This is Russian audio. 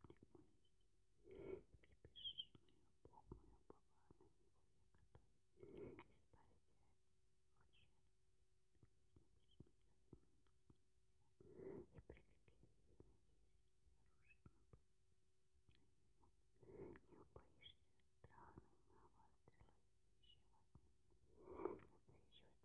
преступник Моисей, припишенный Бог мой уповал на него якотой, избавите от жертвы, и прикрепили ее надежды оружием на Не убоишься страны на вас стрелы, еще от них, еще от них приходящие.